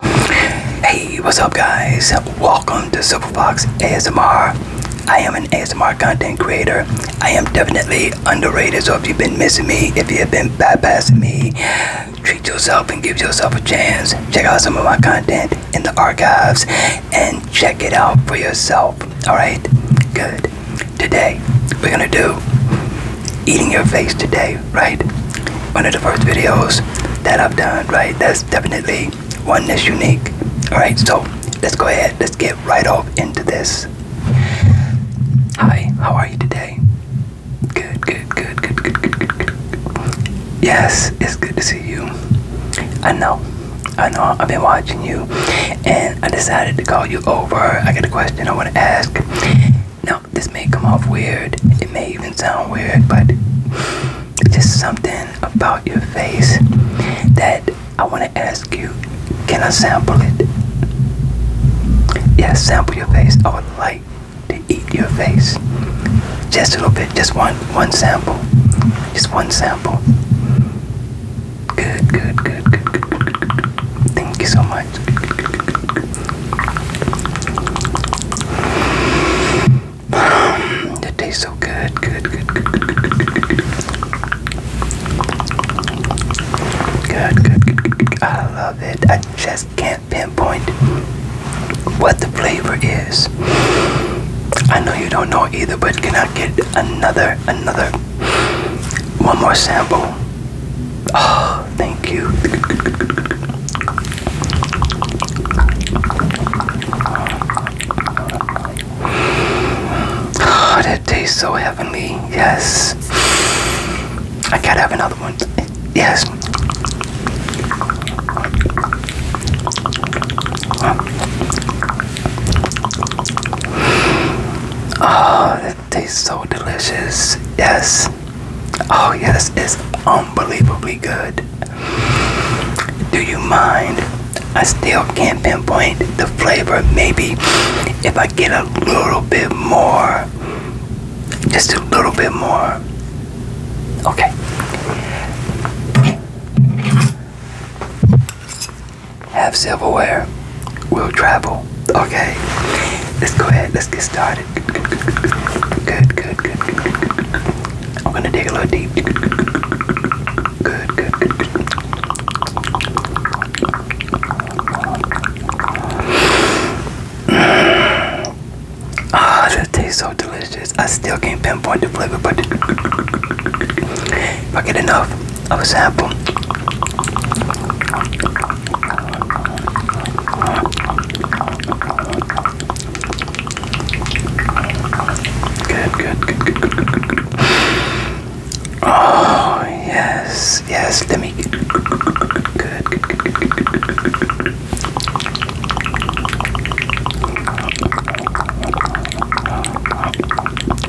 Hey, what's up, guys? Welcome to Fox ASMR. I am an ASMR content creator. I am definitely underrated, so if you've been missing me, if you have been bypassing me, treat yourself and give yourself a chance. Check out some of my content in the archives and check it out for yourself. Alright? Good. Today, we're gonna do eating your face today right? One of the first videos that I've done, right? That's definitely one that's unique. Alright, so let's go ahead, let's get right off into this. Hi, how are you today? Good, good, good, good, good, good, good, good. Yes, it's good to see you. I know, I know, I've been watching you and I decided to call you over. I got a question I want to ask. No this may come off weird. It may even sound weird, but just something about your face that I want to ask you. Can I sample it? Yes, yeah, sample your face. I would like to eat your face. Just a little bit. Just one one sample. Just one sample. good, good, good, good, good, good. Thank you so much. It tastes so good, good, good, good, good, good, good, good, good. Good, good, good, good. I love it. I just can't pinpoint what the flavor is. I know you don't know either, but can I get another, another, one more sample? Oh, thank you. Oh, that tastes so heavenly. Yes. I gotta have another one. Yes. Oh, tastes so delicious. Yes. Oh, yes, it's unbelievably good. Do you mind? I still can't pinpoint the flavor. Maybe if I get a little bit more, just a little bit more. Okay. Have silverware we will travel. Okay, let's go ahead. Let's get started. Good, good, good, I'm gonna dig a little deep. Good, good, good, Ah, oh, that tastes so delicious. I still can't pinpoint the flavor, but I get enough, of a sample. Good, good, good, good, good, good, good, good. Oh, yes, yes, let me. Good, good.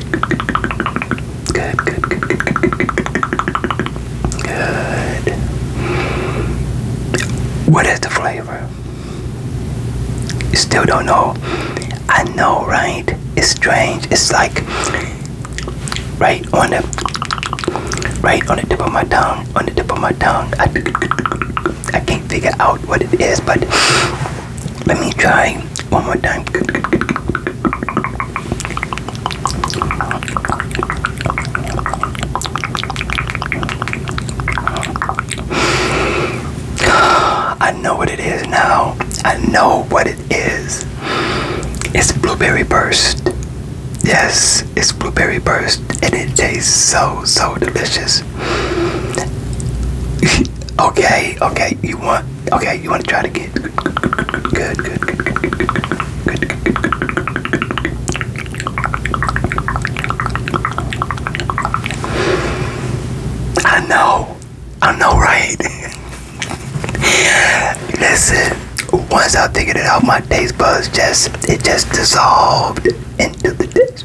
Good, good, good, good, good, good, good, good. Good. What is the flavor? You still don't know? I know, right? It's strange. It's like right on the right on the tip of my tongue. On the tip of my tongue. I, I can't figure out what it is, but let me try one more time. I know what it is now. I know what it is. It's blueberry burst. Yes, it's blueberry burst and it tastes so so delicious okay, okay, you want okay, you want to try to get good, good, good, good, good, good, good, good, good, good, good, good, good, good, good. I know, I know, right? Listen, once I figured it out, my taste buds just it just dissolved into the dish.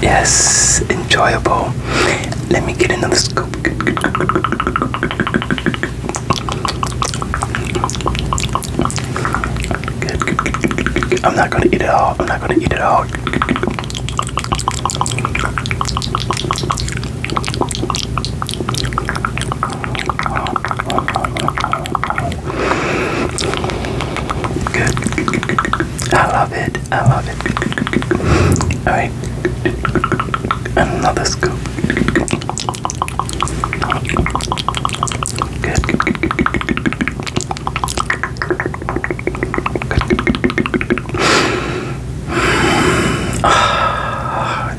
Yes, enjoyable. Let me get another scoop. I'm not gonna eat it all. I'm not gonna eat it all. I love it. I love it. All right. Another scoop. good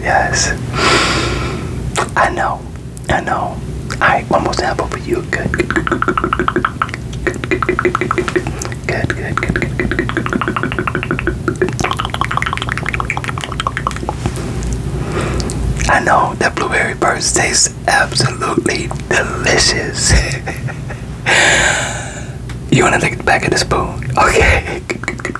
yes. I know. I know. Alright, one more sample for you. Good, good, good, good, good, good, good, good, good, good, good, good, good. Good, good, good, good, good, good, good. I know that blueberry burst tastes absolutely delicious. you want to take the back of the spoon? Okay. Good, good, good,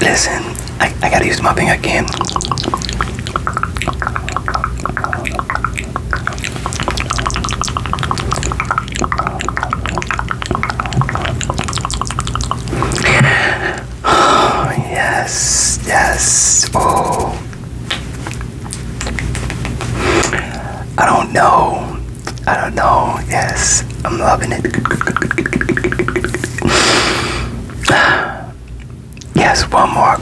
Listen, I, I gotta use my thing again. Oh, yes, yes. Oh, I don't know. I don't know. Yes, I'm loving it. Yes, one more.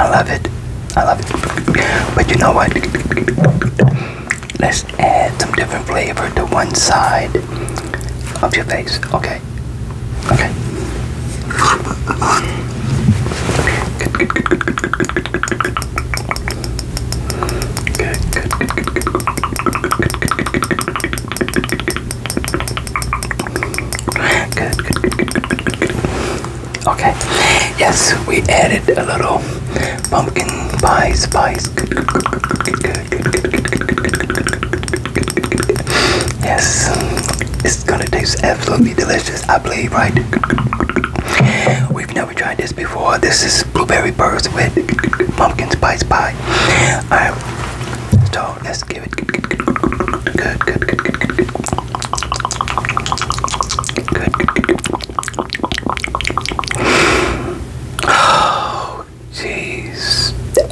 I love it. I love it. But you know what? Let's add some different flavor to one side of your face. Okay. Okay. Okay. Yes, we added a little pumpkin pie spice. Good, good, good, Yes, it's gonna taste absolutely delicious. I believe, right? We've never tried this before. This is blueberry burst with pumpkin spice pie. All right. let's give it. Good,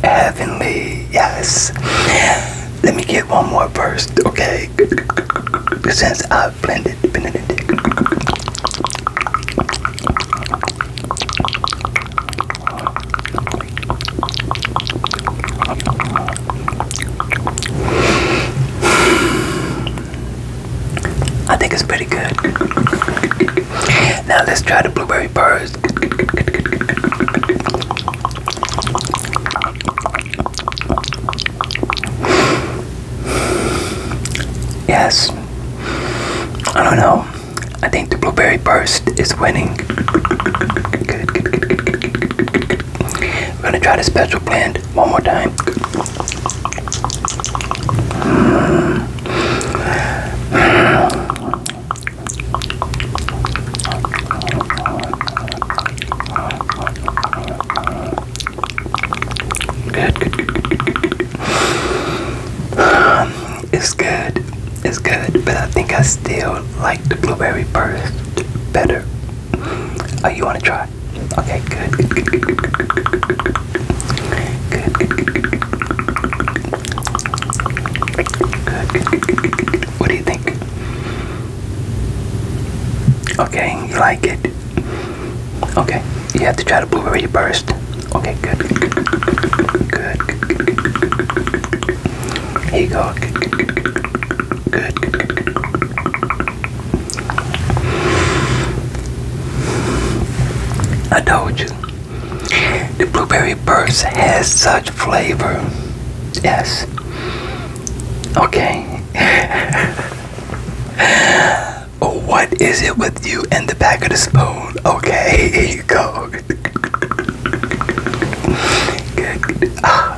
Heavenly, yes. Let me get one more first, okay? Since I have blended Benedict. I think it's pretty good. Now let's try the blueberry burst. Yes. I don't know. I think the blueberry burst is winning. We're gonna try the special blend one more time. good. It's good. It's good, but I think I still like the blueberry burst better. Oh, you want to try? Okay, good, good, good, good, good, good, good, good, good, good, good, good, What do you think? Okay, you like it? Okay, you have to try the blueberry burst. Okay, good, good, good, good, good, good, good, good here you go. Good, I told you. The blueberry burst has such flavor. Yes. Okay. Oh, what is it with you and the back of the spoon? Okay, here you go. good. good. Ah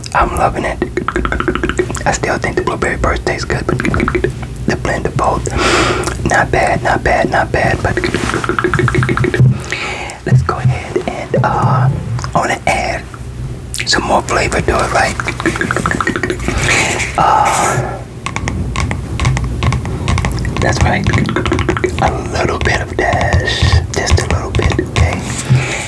I'm loving it. I still think the blueberry burst tastes good, but the blend of both, not bad, not bad, not bad. But let's go ahead and uh, I want to add some more flavor to it, right? Uh, that's right. A little bit of dash, just a little bit, okay.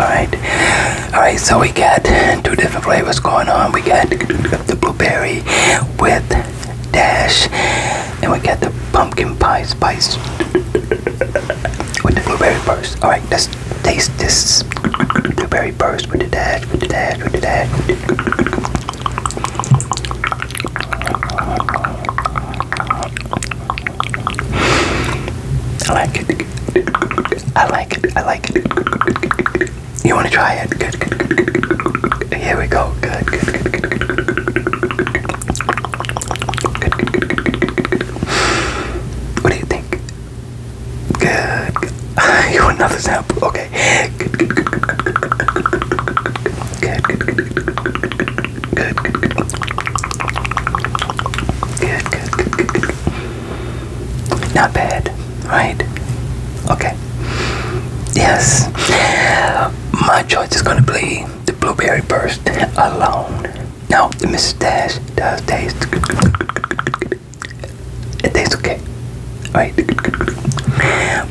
Alright. Alright, so we got two different flavors going on. We got the blueberry with dash, and we got the pumpkin pie spice with the blueberry burst. Alright, let's taste this blueberry burst with the dash, with the dash, with the dash. I like it. I like it. I like it. You want to try it? Good, good, good, good, good, good. Here we go. Good, good, good, good, good, good, good, good, good, good. What do you think? Good. good. you want another sample? Okay. Good, good, good, good, good, good, good, good, good, good, good, good, good, good. Good, good, good, good, good. Not bad, right? Okay. Yes. My choice is gonna be the blueberry burst alone. Now the mustache does taste It tastes okay. Right?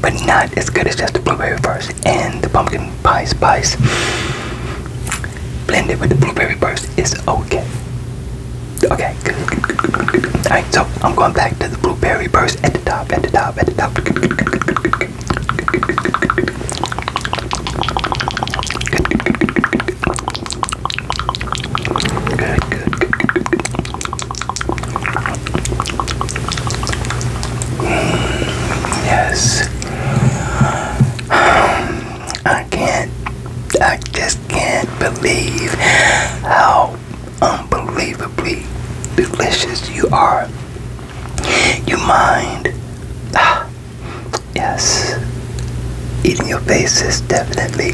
But not as good as just the blueberry burst and the pumpkin pie spice blended with the blueberry burst It's okay. Okay, All right, so I'm going back to the blueberry burst at the top, at the top, at the top. yes. I can't, I just can't believe how unbelievably delicious you are. You mind, ah, yes, eating your face is definitely.